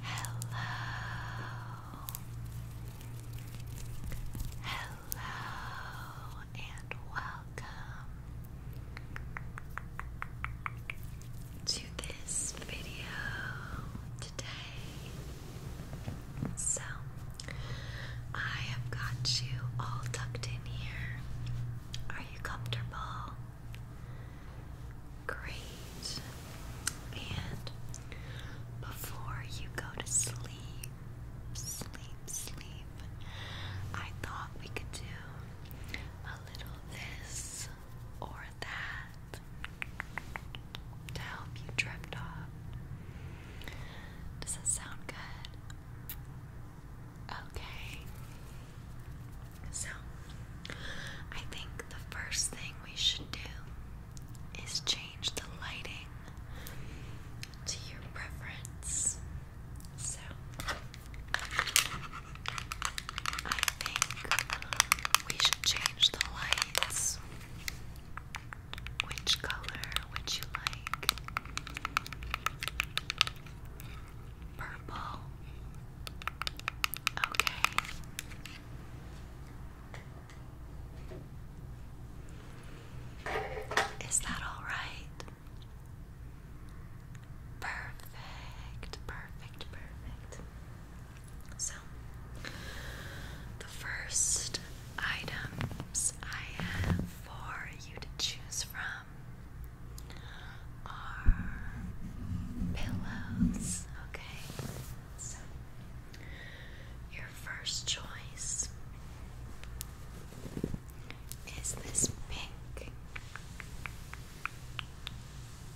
Hello. Hello and welcome to this video today. So, I have got you all tucked in here are you comfortable? Great. And before you go to sleep, sleep, sleep, I thought we could do a little this or that to help you drift off. Does that sound good? Okay. So, I think the first thing we should do is change the lighting to your preference. So, I think we should change the lights. Which color would you Purple. Okay. Is that all right? Perfect, perfect, perfect. So, the first items I have for you to choose from are pillows. Okay, so your first choice is this pink,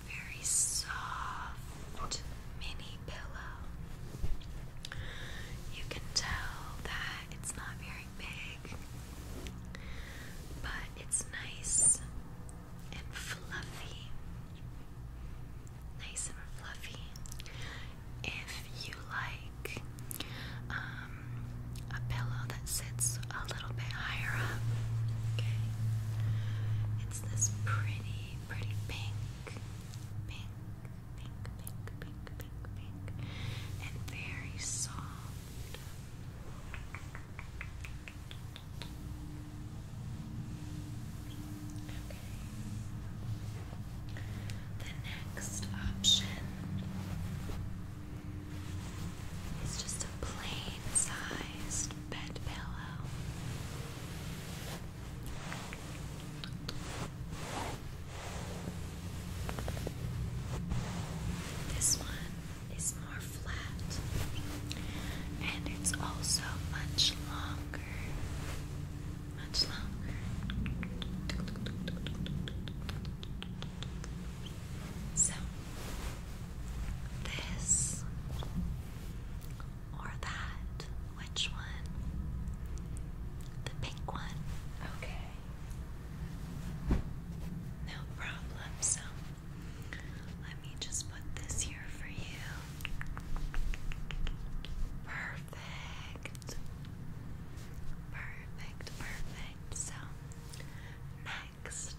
very soft mini pillow. You can tell that it's not very big. But it's nice and fluffy. Nice and fluffy. If you like um, a pillow that sits a little bit higher up, It's this pretty, pretty pink, pink, pink, pink, pink, pink, pink, and very soft. Okay. The next option is just a plain sized bed pillow. This one is more flat and it's also much longer. Much longer. So, this or that? Which one? The pink one. Okay. No problem. So let me just put this here for you. Perfect. Perfect, perfect. So next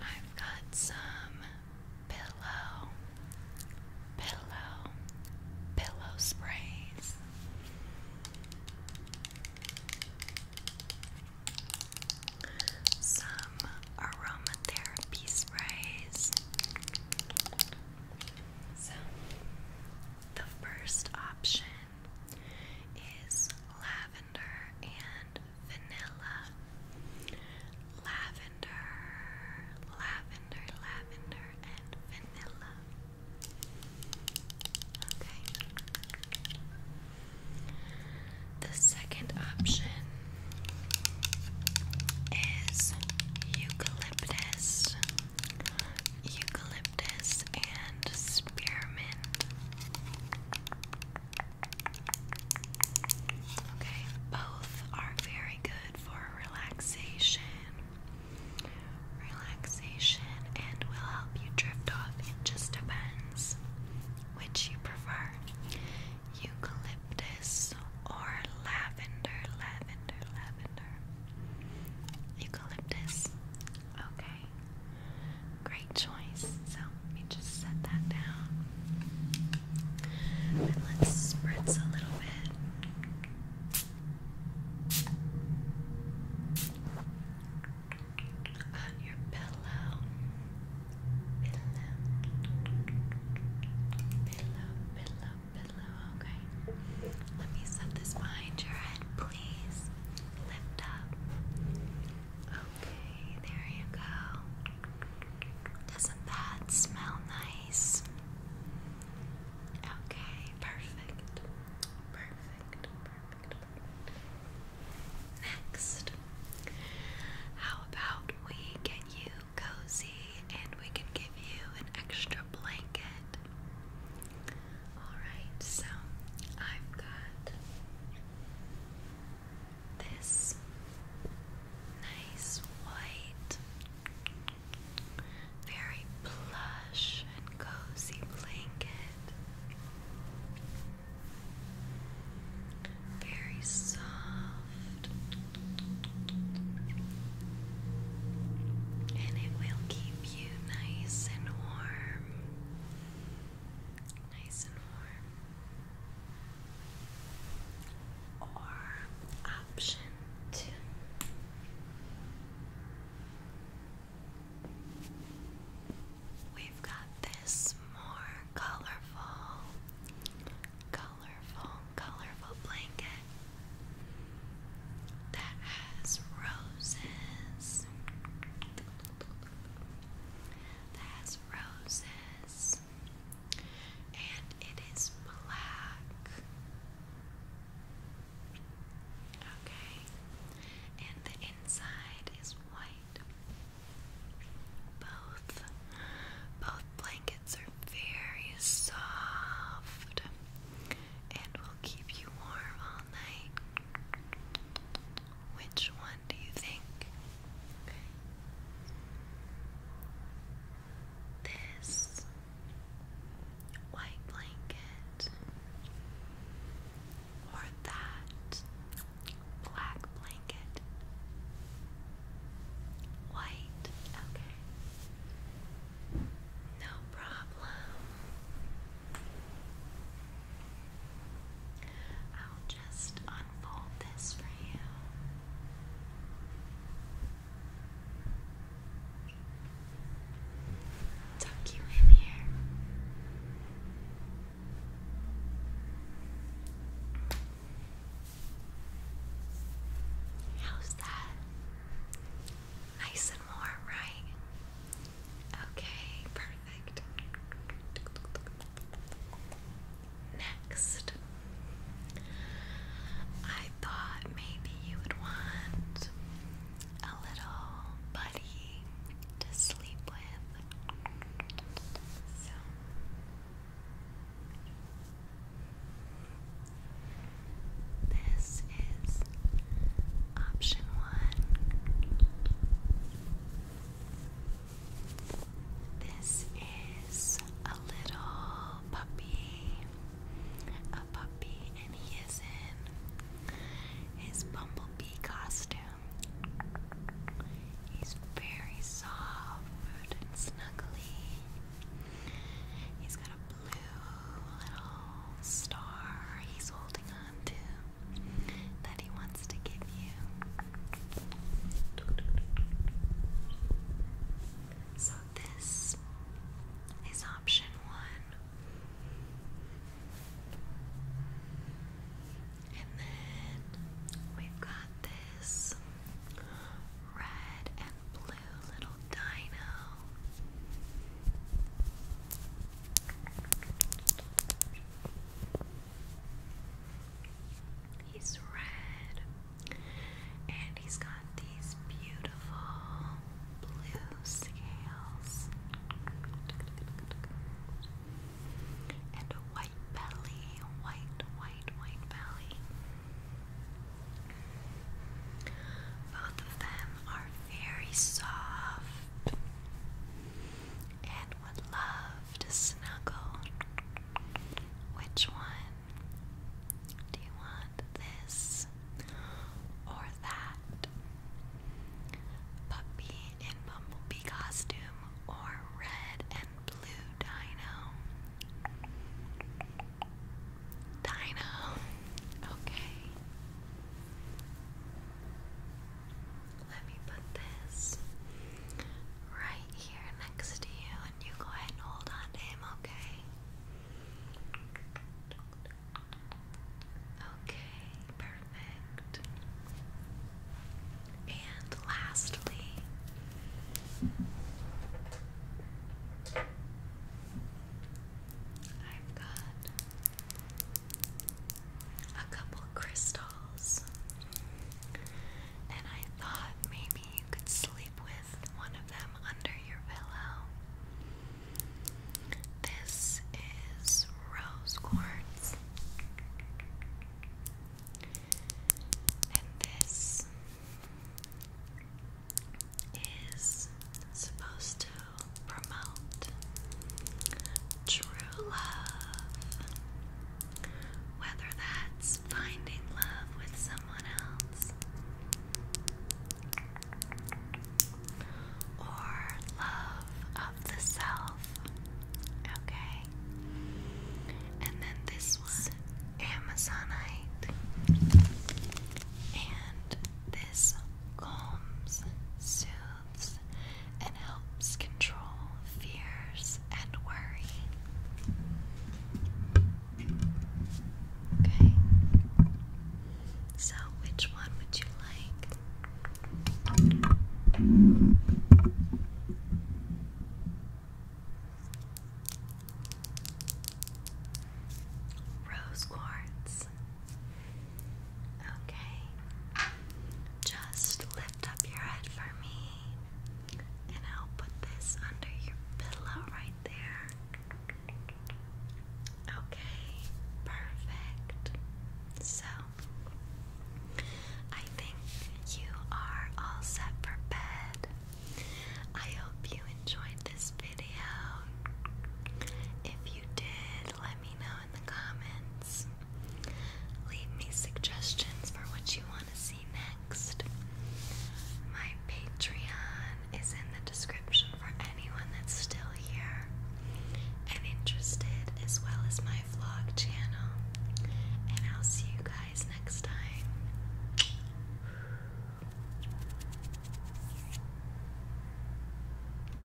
I've got some pillow, pillow, pillow sprays. Some aromatherapy sprays. So, the first option is lavender and vanilla. Lavender lavender, lavender, lavender, and vanilla. Okay. The second option is eucalyptus, eucalyptus, and spearmint. Okay, both are very good good for relaxation. Relaxation and will help you drift off. It just depends which you prefer eucalyptus or lavender, lavender, lavender. Eucalyptus. Okay. Great choice. So let me just set that down. And let's spritz a little bit on your pillow. Pillow, pillow, pillow, pillow. Okay. Let me set this behind your head, please. Lift up. Okay, there you go. Doesn't that smell nice? Okay, perfect. Perfect, perfect, Next, how about we get you cozy and we can give you an extra blanket? Alright, so I've got this nice white, very plush and cozy blanket. Very soft, and it will keep you nice and warm. Nice and warm or option two. We've got this more colorful, colorful, colorful blanket that has roses, that has roses and it is black. Okay. And the inside is white. Both both blankets are very soft and will keep you warm all night. Which one do you think Okay. This white blanket or that black blanket. White, okay. No problem just unfold this for you. Tuck you in here. How's that? Nice and warm, right? Okay, perfect next. I thought maybe you would want a little buddy to sleep with. So. This is option one. This is a little puppy. A puppy, and he is in his bumblebee costume. He's very soft and snuggly. He's got a blue little star he's holding on to that he wants to give you. So, this is option one. And then we've got this red and blue little dino. He's red, and he's got these beautiful blue scales, and a white belly, white, white, white belly. Both of them are very soft and would love to snuggle. Which one? Do you want this or that? Puppy in bumblebee costume or red and blue dino? Dino. Okay let me put this right here next to you, and you go ahead and hold on him, okay? Okay, perfect. And lastly, I've got a couple crystals, and I thought maybe you could sleep with one of them under your pillow. This is rose quartz, and this is supposed to promote true whether that's finding love with someone else or love of the self. Okay. And then this was Amazonite. And this Combs Sue and helps control fears and worry. Okay. So, which one would you like? Rose quartz. Okay. Just lift up your head for me. And I'll put this under your pillow right there. Okay, perfect. So, I think you are all set for bed. I hope you enjoyed this video. If you did, let me know in the comments. Leave me suggestions for what you want to see next. My Patreon is in the description for anyone that's still here and interested, as well as my vlog channel. And I'll see you guys next time.